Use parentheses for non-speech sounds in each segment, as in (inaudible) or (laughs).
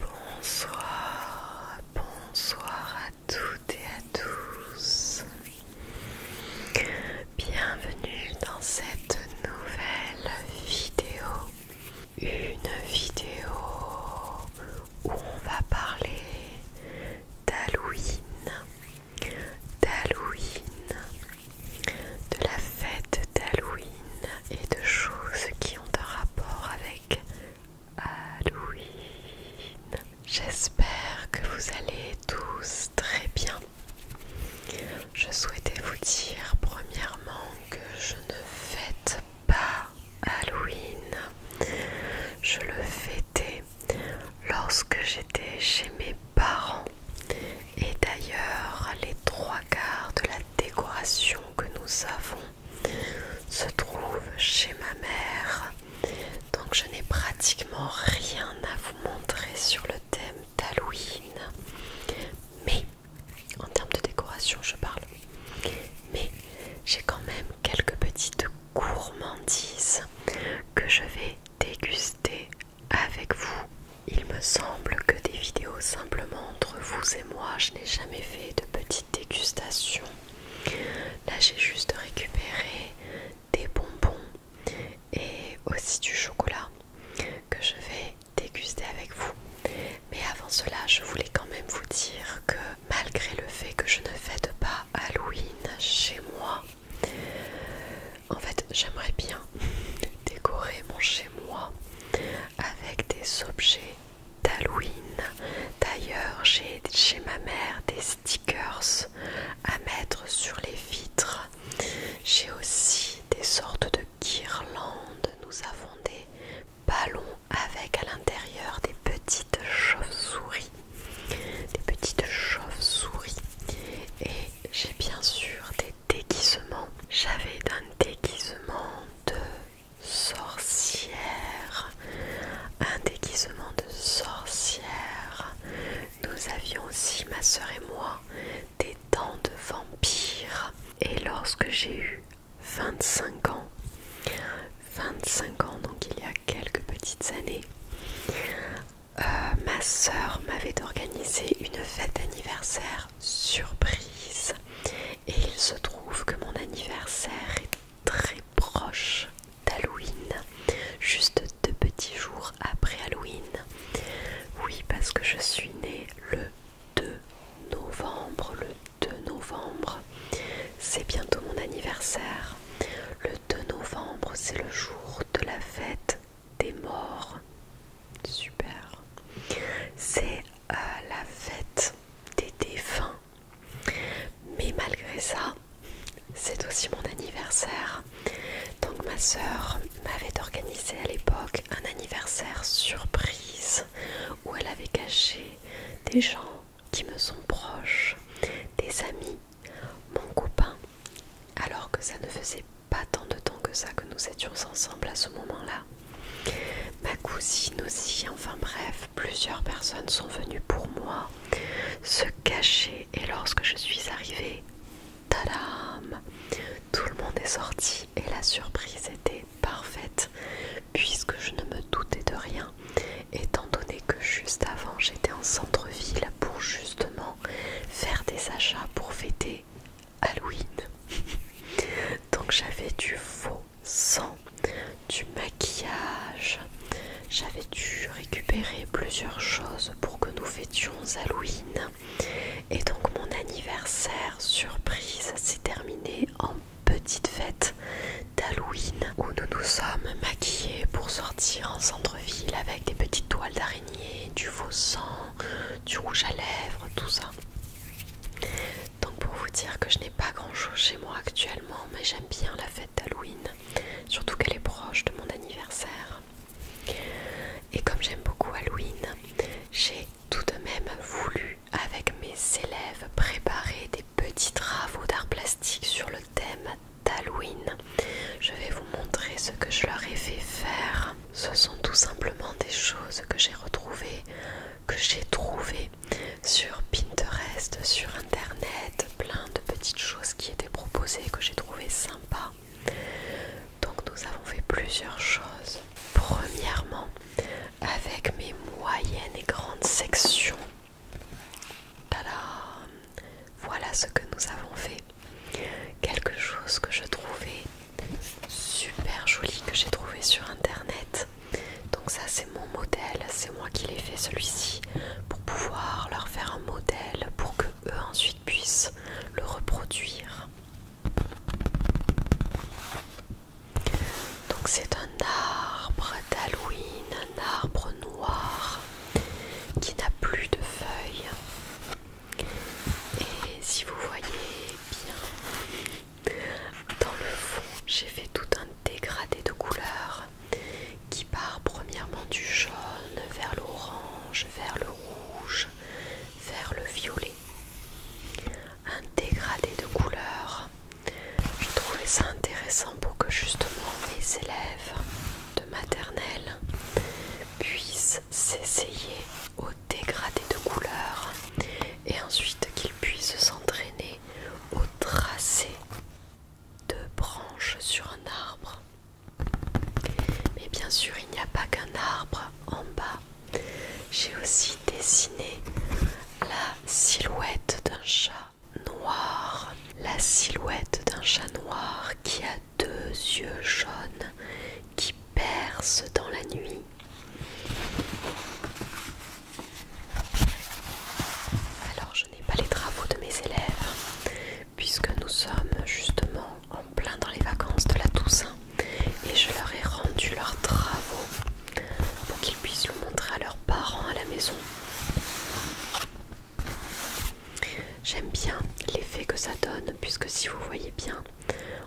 Bonsoir, bonsoir à toutes et à tous. Bienvenue dans cette nouvelle vidéo. Une vidéo où on va parler d'Halloween, d'Halloween, de la fête d'Halloween et de choses qui ont un rapport avec Halloween. Euh, J'espère que vous allez tous très bien. Je souhaitais vous dire premièrement que je ne fête pas Halloween. Je le fêtais lorsque j'étais chez mes parents. Et d'ailleurs, les trois quarts de la décoration que nous avons se trouve chez ma mère. Donc je n'ai pratiquement rien à vous montrer sur le thème d'Halloween. Mais, en termes de décoration je parle. Mais j'ai quand même quelques petites gourmandises que je vais déguster avec vous. Il me semble que des vidéos simplement entre vous et moi, je n'ai jamais fait de petite dégustation. Là, j'ai juste récupéré des bonbons et aussi du chocolat que je vais déguster avec vous. Mais avant cela, je voulais quand même vous dire que malgré le fait que je ne fête pas Halloween chez moi, en fait, j'aimerais bien (laughs) décorer mon chez moi avec des objets d'Halloween. D'ailleurs, j'ai chez ma mère des stickers à mettre sur les vitres. J'ai aussi des sortes de guirlandes. Nous avons des ballons avec à l'intérieur des petites chauves-souris. Des petites chauves-souris. Et j'ai bien sûr des déguisements. J'avais un déguisement de sorcière, un déguisement de sorcière. Nous avions aussi, ma soeur et moi, des dents de vampire. Et lorsque j'ai eu 25 ans, 25 ans, donc il y a quelques petites années, euh, ma soeur m'avait organisé une fête d'anniversaire surprise et il se trouve que mon anniversaire est très proche d'Halloween, juste deux petits jours après Halloween. Oui, parce que je suis née le 2 novembre, le 2 novembre, c'est bientôt mon anniversaire. Le 2 novembre, c'est le jour de la fête des morts. Super. C'est euh, la fête des défunts. Mais malgré ça, c'est aussi mon anniversaire. Donc ma sœur m'avait organisé à l'époque un anniversaire surprise où elle avait caché des gens qui me sont proches, des amis, mon copain, alors que ça ne faisait pas tant de temps que ça que nous étions ensemble à ce moment-là. Ma cousine aussi, enfin bref, plusieurs personnes sont venues pour moi se cacher et lorsque je suis arrivée, tadam, tout le monde est sorti et la surprise était parfaite puisque je ne me doutais de rien étant donné que juste avant j'étais en centre-ville pour justement faire des achats pour fêter Halloween. (laughs) Donc j'avais du faux sans du maquillage. J'avais dû récupérer plusieurs choses pour que nous fêtions Halloween. Et donc mon anniversaire surprise s'est terminé en petite fête d'Halloween où nous nous sommes maquillés pour sortir en centre-ville avec des petites toiles d'araignée, du faux sang, du rouge à lèvres, tout ça. Donc pour vous dire que je n'ai pas grand chose chez moi actuellement, mais j'aime bien la fête d'Halloween, surtout qu'elle est proche de mon anniversaire. Et comme j'aime beaucoup Halloween, j'ai tout de même voulu avec mes élèves préparer des petits travaux d'art plastique sur le thème d'Halloween. Je vais vous montrer ce que je leur ai fait faire. Ce sont tout simplement des choses que j'ai retrouvées que j'ai trouvé sur Pinterest, sur internet, plein de petites choses qui étaient proposées que j'ai trouvé sympa. Donc nous avons fait plusieurs choses. Premièrement, avec mes moyennes et grandes sections. voilà ce que nous avons fait. Quelque chose que je trouvais super joli, que j'ai trouvé sur internet. Donc ça c'est mon modèle, c'est moi qui l'ai fait celui-ci pour pouvoir leur faire un modèle pour que eux ensuite puissent le reproduire. Donc c'est un arbre d'Halloween, un arbre noir qui n'a plus de feuilles. Et si vous voyez bien, dans le fond, j'ai fait tout un dégradé de couleurs qui part premièrement du jaune vers l'orange, vers le rouge, vers le violet. Un dégradé de couleurs. Je trouvais ça intéressant pour que justement mes élèves de maternelle puissent s'essayer au dégradé de couleurs et ensuite qu'ils puissent centrer au tracé de branches sur un arbre. Mais bien sûr, il n'y a pas qu'un arbre en bas. J'ai aussi dessiné la silhouette d'un chat noir. La silhouette d'un chat noir qui a deux yeux jaunes qui percent dans la nuit. Alors je n'ai pas les travaux de mes élèves puisque nous sommes justement en plein dans les vacances de la Toussaint et je leur ai rendu leurs travaux pour qu'ils puissent le montrer à leurs parents à la maison. J'aime bien l'effet que ça donne puisque si vous voyez bien,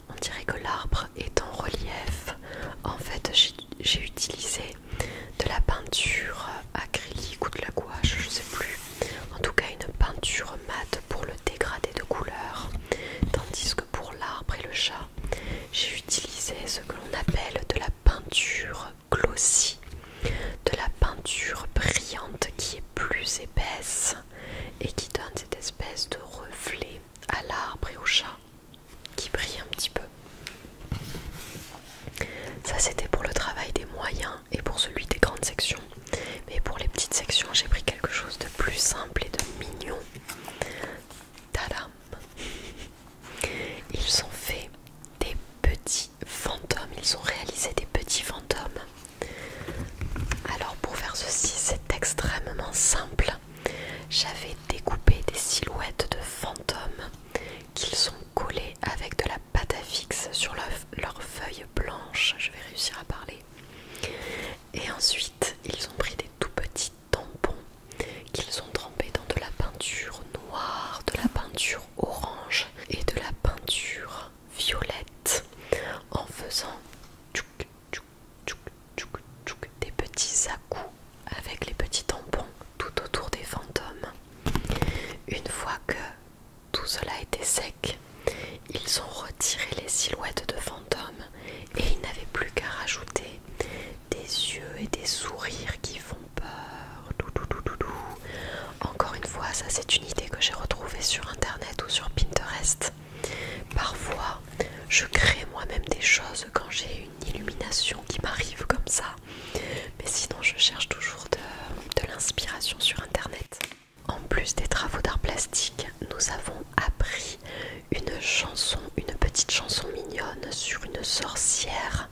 on dirait que l'arbre est en relief. En fait, j'ai utilisé de la peinture acrylique ou de la gouache, je ne sais plus. En tout cas, une peinture mate pour le dégrader de couleur. Tandis que pour l'arbre et le chat, j'ai utilisé ce que l'on appelle de la peinture glossy, de la peinture brillante qui est plus épaisse et qui donne cette espèce de reflet à l'arbre et au chat qui brille un petit peu. Ça c'était pour le travail des moyens et pour celui des grandes sections. Mais pour les petites sections, j'ai pris quelque chose de plus simple et de mignon. Tadam Ils ont fait des petits fantômes. Ils ont réalisé des petits fantômes. Alors pour faire ceci, c'est extrêmement simple j'avais découpé des silhouettes de fantômes qu'ils ont collées avec de la pâte à fixe sur leurs feuilles blanches. Je vais réussir à parler. Et ensuite, ils ont pris des tout petits tampons qu'ils ont trempés dans de la peinture noire, de la peinture orange et de la peinture violette en faisant du coup des petits à coups avec les petits tampons tout autour des fantômes. Une fois que tout cela était sec, ils ont retiré les silhouettes de fantômes et ils n'avaient plus qu'à rajouter des yeux et des sourires qui font peur. Encore une fois, ça c'est une idée que j'ai retrouvée sur internet ou sur Pinterest. Parfois, je crée moi-même des choses quand j'ai une illumination qui m'arrive comme ça. Mais sinon, je cherche toujours de, l'inspiration sur Internet. En plus des travaux d'art plastique, nous avons appris une chanson, une petite chanson mignonne sur une sorcière.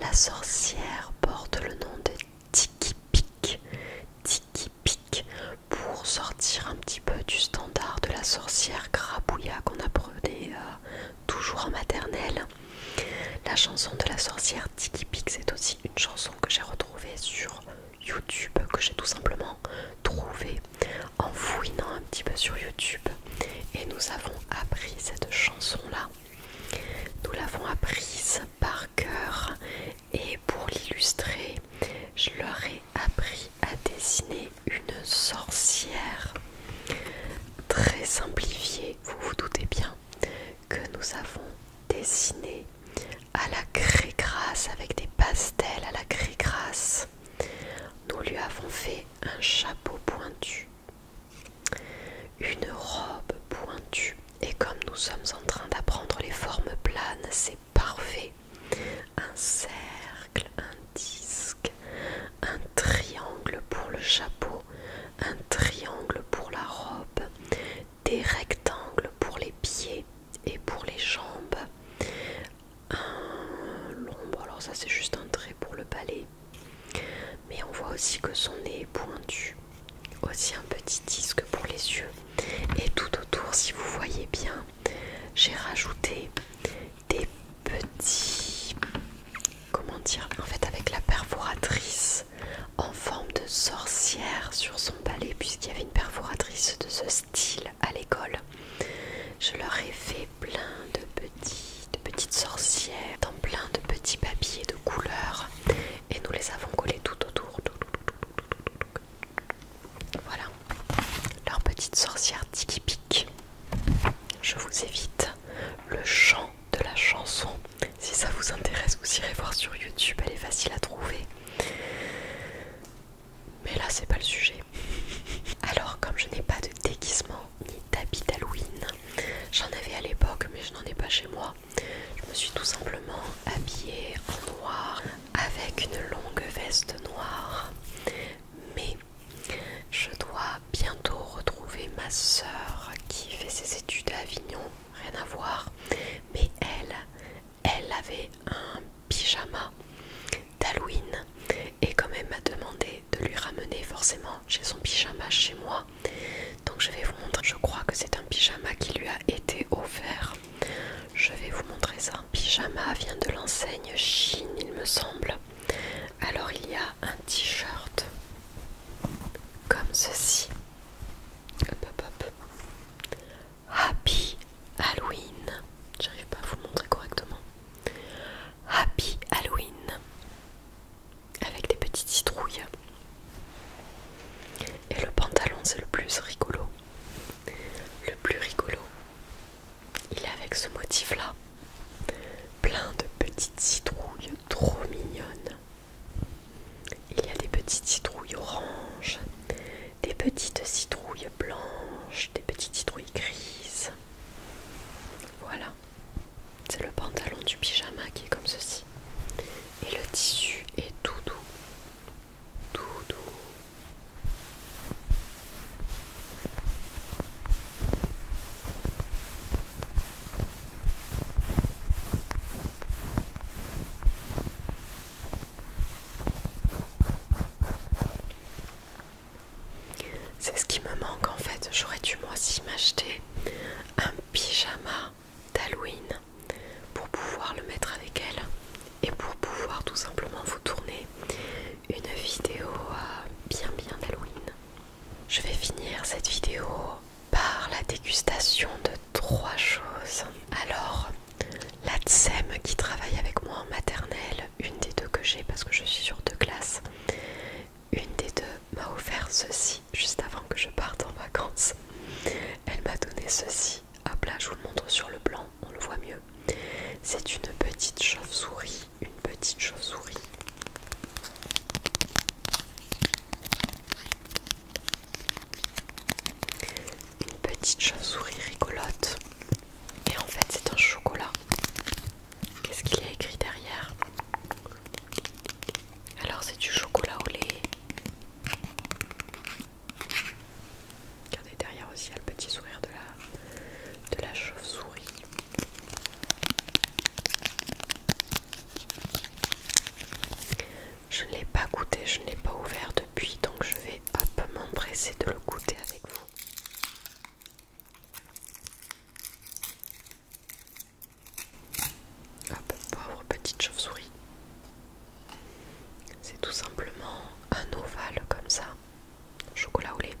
La sorcière porte le nom de Tiki Pic. Tiki Pic pour sortir un petit peu du standard de la sorcière grabouilla qu'on a apprenait euh, toujours en maternelle. La chanson de la sorcière Tiki Pix c'est aussi une chanson que j'ai retrouvée sur YouTube, que j'ai tout simplement trouvée en fouinant un petit peu sur YouTube. Et nous avons appris cette chanson-là. Nous l'avons apprise par cœur et pour l'illustrer, je leur ai appris à dessiner une sorcière très simplifiée. Vous vous doutez bien que nous avons dessiné à la craie grasse avec des pastels à la craie grasse. Nous lui avons fait un chapeau pointu, une robe pointue et comme nous sommes en train d'apprendre les formes planes, c'est parfait. Un cercle, un disque, un triangle pour le chapeau, un triangle pour la robe, des rectangles pour les pieds et pour les jambes, un alors ça c'est juste un trait pour le palais, mais on voit aussi que son nez est pointu, aussi un petit disque pour les yeux, et tout autour, si vous voyez bien, j'ai rajouté des petit comment dire en fait avec la perforatrice en forme de sorcière sur son palais puisqu'il y avait une perforatrice de ce style à l'école je leur ai fait plein de petits petites sorcières dans plein de petits papiers de couleurs et nous les avons collés tout autour voilà leur petite sorcière tiki pik je vous évite le chant de la chanson. Si ça vous intéresse, vous irez voir sur YouTube, elle est facile à trouver. Mais là, c'est pas le sujet. Alors, comme je n'ai pas de déguisement ni d'habit d'Halloween, j'en avais à l'époque, mais je n'en ai pas chez moi. Je me suis tout simplement habillée en noir avec une longue veste noire. Mais je dois bientôt retrouver ma soeur qui fait ses études à Avignon, rien à voir, mais elle, elle avait un pyjama d'Halloween et quand elle m'a demandé de lui ramener forcément chez son pyjama chez moi, donc je vais vous montrer, je crois que c'est un pyjama qui lui a été offert. Je vais vous montrer ça. Un Pyjama vient de l'enseigne Chine, il me semble. Alors il y a un t-shirt comme ceci. Hop, hop, hop. Happy Halloween. J'arrive pas à vous le montrer correctement. Happy Halloween. Avec des petites citrouilles. Et le pantalon, c'est le plus rigolo. Le plus rigolo. Il est avec ce motif-là. Plein de petites citrouilles trop mignonnes. Il y a des petites citrouilles oranges, des petites citrouilles blanches, des petites citrouilles grises. Voilà. C'est le pantalon du pyjama qui est comme ceci. Et le tissu est tout doux. Tout doux. C'est ce qui me manque en fait. J'aurais dû moi aussi m'acheter un pyjama d'Halloween pour pouvoir le mettre avec elle et pour pouvoir tout simplement vous tourner une vidéo euh, bien bien d'Halloween. Je vais finir cette vidéo par la dégustation de trois choses. Alors, la Tsem qui travaille avec moi en maternelle, une des deux que j'ai parce que je suis sur deux classes, une des deux m'a offert ceci juste avant que je parte en vacances. Elle m'a donné ceci. Hop là, je vous le montre sur le blanc, on le voit mieux. C'est une petite chauve-souris une petite chauve-souris. Une petite chauve-souris rigolote. Et en fait, c'est un chocolat. Qu'est-ce qu'il y a écrit derrière Alors, c'est du chocolat au lait. Regardez derrière aussi, il y a le petit sourire de la, de la chauve-souris. Je ne l'ai pas goûté, je ne l'ai pas ouvert depuis, donc je vais m'empresser de le goûter avec vous. Hop, pauvre petite chauve-souris. C'est tout simplement un ovale comme ça chocolat. au lait.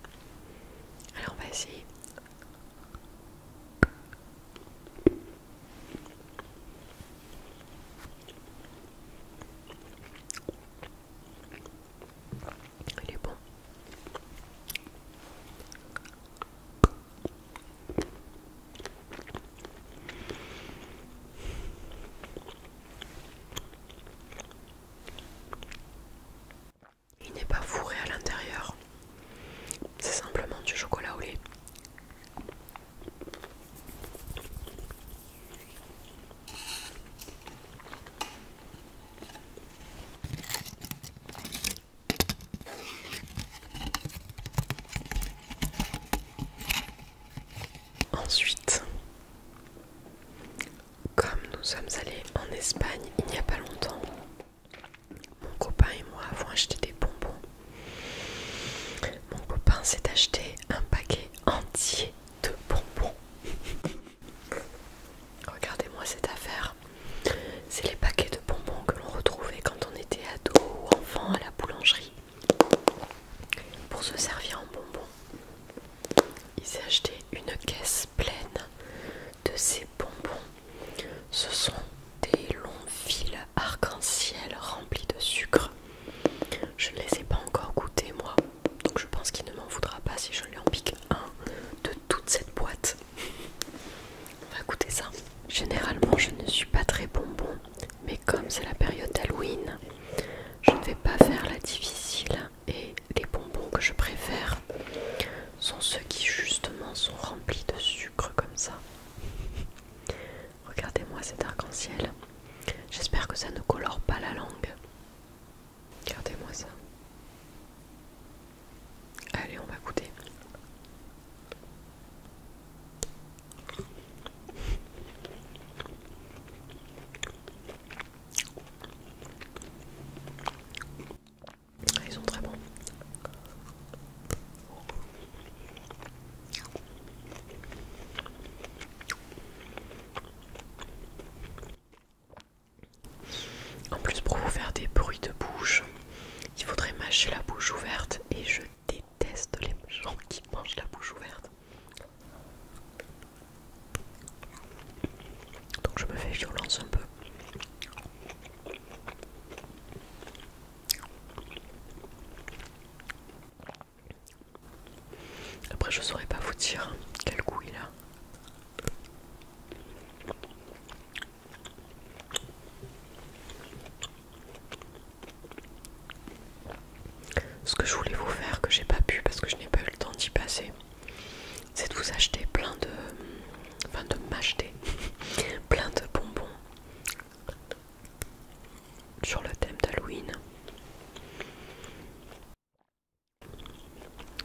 Alors on va essayer. Il est bon. Il n'est pas fourré à l'intérieur. C'est simplement du chocolat au lait. Ensuite, comme nous sommes allés en Espagne il n'y a pas longtemps, mon copain et moi avons acheté des bonbons. Mon copain s'est acheté un paquet entier de bonbons. (laughs) Regardez-moi cette affaire. C'est les paquets de bonbons que l'on retrouvait quand on était ado ou enfant à la boulangerie. Pour se servir en bonbons, il s'est acheté une caisse pleine de ces bonbons. Ce sont des longs fils arc-en-ciel remplis de sucre. Je ne les ai pas encore goûtés moi, donc je pense qu'il ne m'en voudra pas si je lui en pique un de toute cette boîte. On va goûter ça. Généralement, je ne suis pas très bonbon, mais comme c'est la période d'Halloween, je ne vais pas faire la difficile et les bonbons que je préfère sont ceux qui justement sont remplis de sucre comme ça. (laughs) Regardez-moi cet arc-en-ciel. J'espère que ça ne colore pas la langue. Regardez-moi ça. Allez, on va goûter. Ils sont très bons. En plus, pour vous faire des bruits de bouche, il faudrait mâcher la bouche ouverte et je déteste les gens qui mangent la bouche ouverte. Donc je me fais violence un peu. Après je saurais pas vous dire quel goût il a. Ce que je voulais vous faire que j'ai pas pu parce que je n'ai pas eu le temps d'y passer, c'est de vous acheter plein de. Enfin, de m'acheter (laughs) plein de bonbons sur le thème d'Halloween.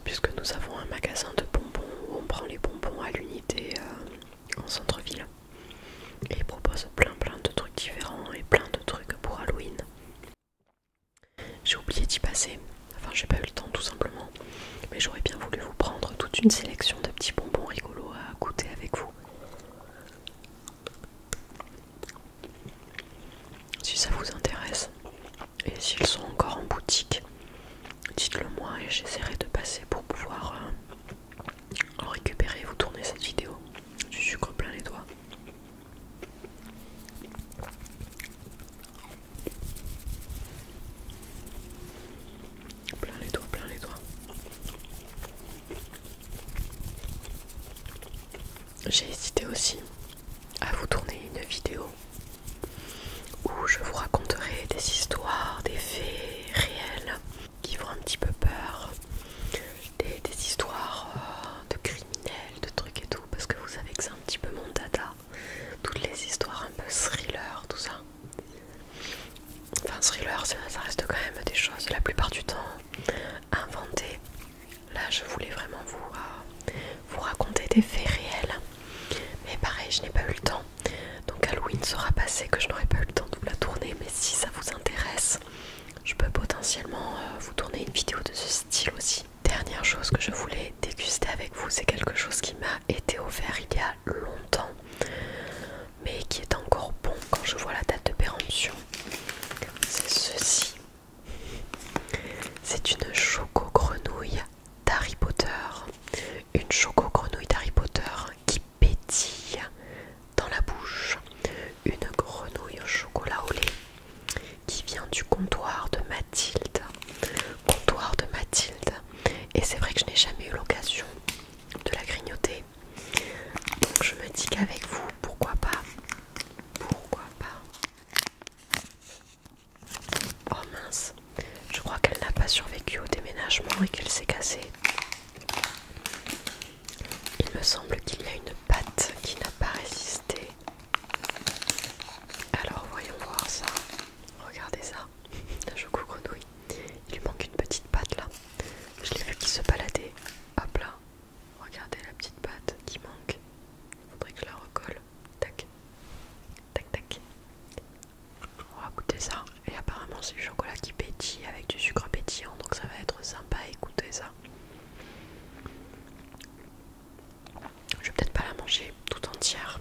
Puisque nous avons un magasin de bonbons où on prend les bonbons à l'unité euh, en centre-ville. Et ils proposent plein plein de trucs différents et plein de trucs pour Halloween. J'ai oublié d'y passer, enfin j'ai pas eu le temps tout simplement, mais j'aurais bien voulu vous prendre toute une sélection de petits bonbons rigolos à goûter avec vous. Si ça vous intéresse, et s'ils sont encore en boutique, dites-le moi et j'essaierai de passer pour pouvoir euh, en récupérer et vous tourner cette vidéo. Du sucre plein les doigts. Plein les doigts, plein les doigts. J'ai hésité aussi à vous tourner une vidéo où je vous raconterai des histoires, des faits réels qui font un petit peu peur, des, histoires euh, de criminels, de trucs et tout, parce que vous savez que c'est un petit peu mon data toutes les histoires un peu thriller, tout ça. Enfin, thriller, ça, reste quand même des choses la plupart du temps inventées. Là, je voulais vraiment vous, euh, vous raconter des faits réels, mais pareil, je n'ai pas eu le temps. Donc, Halloween sera passé, que je n'aurai pas eu le temps de vous la tourner, mais si ça vous intéresse, je peux potentiellement euh, vous tourner une vidéo de ce style aussi. Dernière chose que je voulais déguster avec vous, c'est quelque chose qui m'a été offert il y a longtemps, mais qui est encore bon quand je vois la date de péremption. C'est ceci. C'est une choco grenouille d'Harry Potter. Une choco grenouille d'Harry Potter qui pétille dans la bouche. Une grenouille au chocolat au lait qui vient du comptoir de Mathilde comptoir de Mathilde et c'est vrai que je n'ai jamais eu l'occasion de la grignoter donc je me dis qu'avec vous pourquoi pas pourquoi pas oh mince je crois qu'elle n'a pas survécu au déménagement et qu'elle s'est cassée il me semble qu'il y a une patte qui n'a pas résisté alors voyons voir ça Regardez ça, la choco grenouille. Il lui manque une petite pâte là. Je l'ai vu qui se baladait. à là. Regardez la petite pâte qui manque. Il faudrait que je la recolle. Tac. Tac tac. On va goûter ça. Et apparemment c'est du chocolat qui pétille avec du sucre pétillant. Donc ça va être sympa à ça. Je vais peut-être pas la manger tout entière.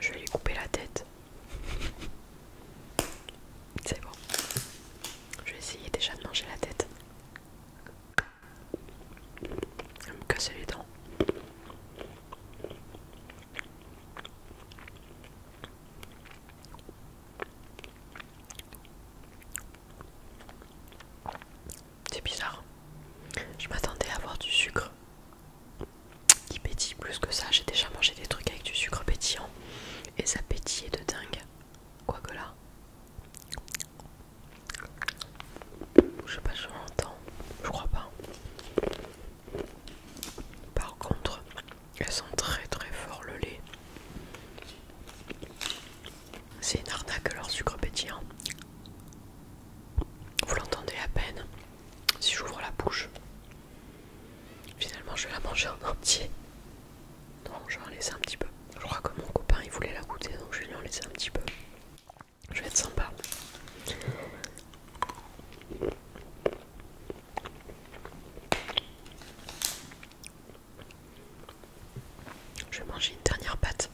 Je vais lui couper la tête. C'est bon. Je vais essayer déjà de manger la tête. elle me casser les dents. C'est bizarre. Je m'attendais à avoir du sucre qui pétille plus que ça. J'ai déjà mangé des trucs avec du sucre pétillant et ça pétillait de dingue. Quoique là, je sais pas si on je crois pas. Par contre, elles sont très très fort le lait. C'est une arnaque leur sucre pétillant. Vous l'entendez à peine si j'ouvre la bouche. Finalement, je vais la manger en entier. Non, je vais en laisser un petit peu. Je crois que mon copain il voulait la goûter, donc je vais lui en laisser un petit peu. Je vais être sympa. Je vais manger une dernière pâte.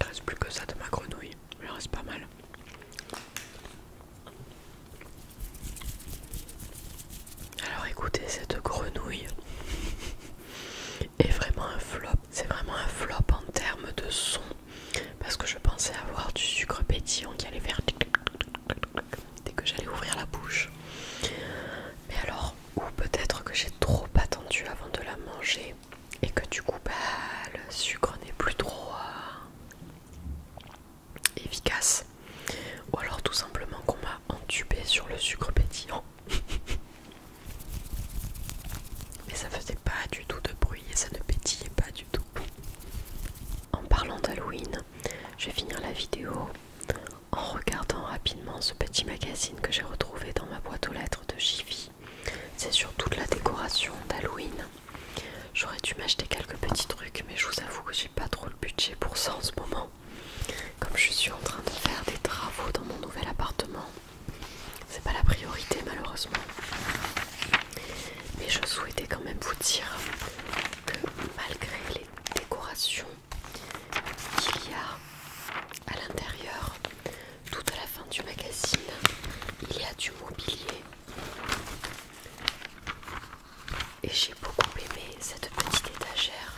Il reste plus que ça de ma grenouille, il reste pas mal. Alors écoutez cette grenouille est vraiment un flop. C'est vraiment un flop en termes de son. Parce que je pensais avoir du sucre pétillant qui allait faire dès que j'allais ouvrir la bouche. Mais alors, ou peut-être que j'ai trop attendu avant de la manger et que du coup, bah, le sucre n'est plus trop euh, efficace. Ou alors tout simplement qu'on m'a entubé sur le sucre pétillant. Mais ça faisait pas du tout de bruit et ça ne pétillait pas du tout. En parlant d'Halloween, je vais finir la vidéo en regardant rapidement ce petit magazine que j'ai retrouvé dans ma boîte aux lettres de Jiffy. C'est sur toute la décoration d'Halloween. J'aurais dû m'acheter quelques petits trucs, mais je vous avoue que j'ai pas trop le budget pour ça en ce moment. Comme je suis en train de faire des travaux dans mon nouvel appartement, c'est pas la priorité malheureusement mais je souhaitais quand même vous dire que malgré les décorations qu'il y a à l'intérieur tout à la fin du magazine il y a du mobilier et j'ai beaucoup aimé cette petite étagère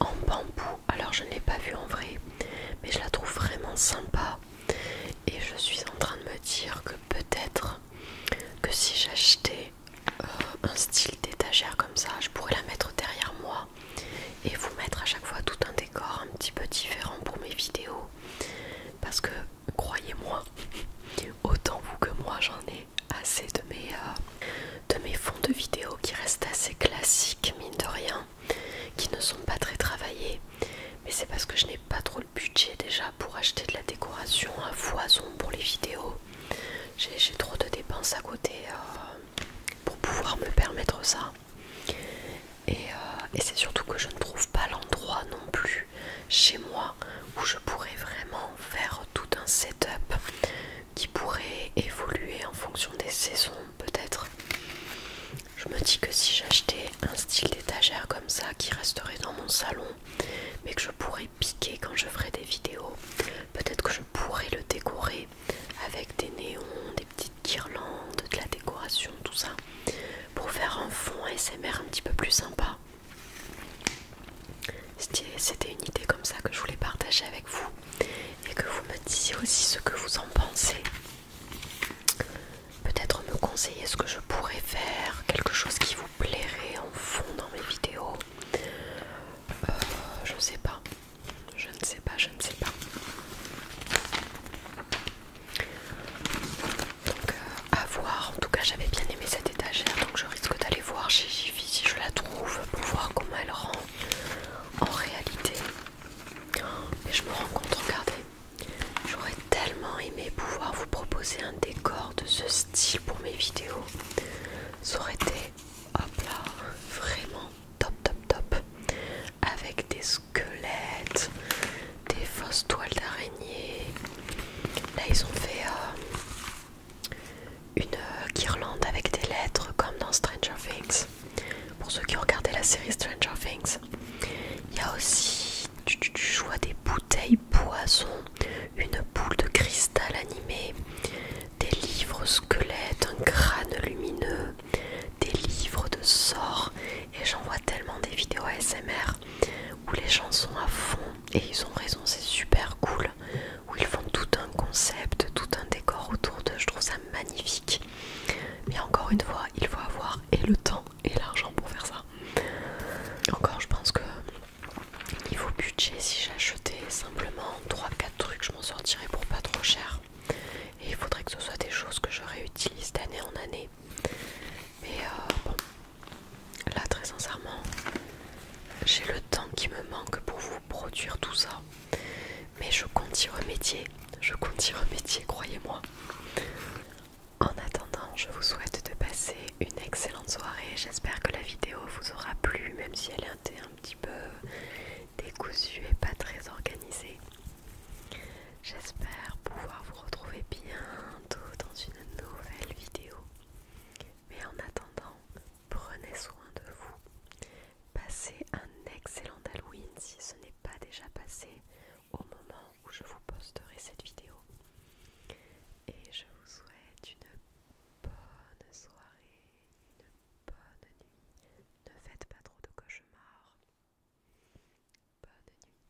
en bambou. Alors je ne l'ai pas vue en vrai, mais je la trouve vraiment sympa. Et je suis en train de me dire que peut-être que si j'achetais euh, un style d'étagère comme ça, je pourrais la mettre derrière moi et vous mettre à chaque fois tout un décor un petit peu différent pour mes vidéos. Parce que croyez-moi, (laughs) autant vous que moi j'en ai assez de mes, euh, de mes fonds de vidéos qui restent assez classiques mine de rien qui ne sont pas très travaillées, mais c'est parce que je n'ai pas trop le budget déjà pour acheter de la décoration à foison pour les vidéos. J'ai trop de dépenses à côté euh, pour pouvoir me permettre ça. Euh, et c'est surtout que je ne trouve pas l'endroit non plus chez moi où je pourrais vraiment faire tout un setup qui pourrait évoluer en fonction des saisons peut-être. Je me dis que si j'achetais un style d'étagère comme ça qui resterait dans mon salon, mais que je pourrais piquer quand je ferais des vidéos, peut-être que je pourrais le décorer avec des néons, des petites guirlandes, de la décoration, tout ça, pour faire un fond ASMR un petit peu plus sympa. C'était une idée comme ça que je voulais partager avec vous et que vous me disiez aussi ce que vous en pensez. Peut-être me conseiller ce que je pourrais faire, quelque chose qui vous plairait en fond dans mes vidéos. Euh, je ne sais pas, je ne sais pas, je ne sais pas. Donc euh, à voir, en tout cas j'avais bien aimé cette étagère donc je risque d'aller voir chez Jiffy si je la trouve pour voir comment elle rend en réalité. Et je me rends compte, regardez. J'aurais tellement aimé pouvoir vous proposer un décor de ce style pour mes vidéos. Ça aurait été, hop là, vraiment top, top, top. Avec des squelettes, des fausses toiles d'araignée. Là, ils ont fait euh, une euh, guirlande avec des lettres comme dans Stranger Things. Pour ceux qui ont regardé la série Stranger Things, il y a aussi, tu, choix des bouteilles Poison une boule de cristal animée, des livres squelettes, un crâne lumineux, des livres de sorts. Et j'en vois tellement des vidéos ASMR où les gens sont à fond et ils ont raison, c'est super cool. Où ils font tout un concept, tout un décor autour d'eux, je trouve ça magnifique. Mais encore une fois, il faut avoir et le temps et l'argent pour faire ça. Encore, je pense que niveau budget, si j'achetais simplement 3-4 trucs, je m'en sortirais pour pas trop cher. Et il faudrait que ce soit des choses que je réutilise d'année en année. Mais euh, bon, là très sincèrement, j'ai le temps qui me manque pour vous produire tout ça. Mais je compte y remédier, je compte y remédier, croyez-moi. En attendant, je vous souhaite de passer une excellente soirée. J'espère que la vidéo vous aura plu, même si elle était un petit peu décousue et pas très organisée. J'espère pouvoir vous retrouver bientôt dans une nouvelle vidéo. Mais en attendant, prenez soin de vous. Passez un excellent Halloween si ce n'est pas déjà passé au moment où je vous posterai cette vidéo. Et je vous souhaite une bonne soirée, une bonne nuit. Ne faites pas trop de cauchemars. Bonne nuit.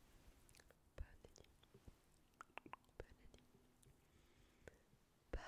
Bonne nuit. Bonne nuit. Bye.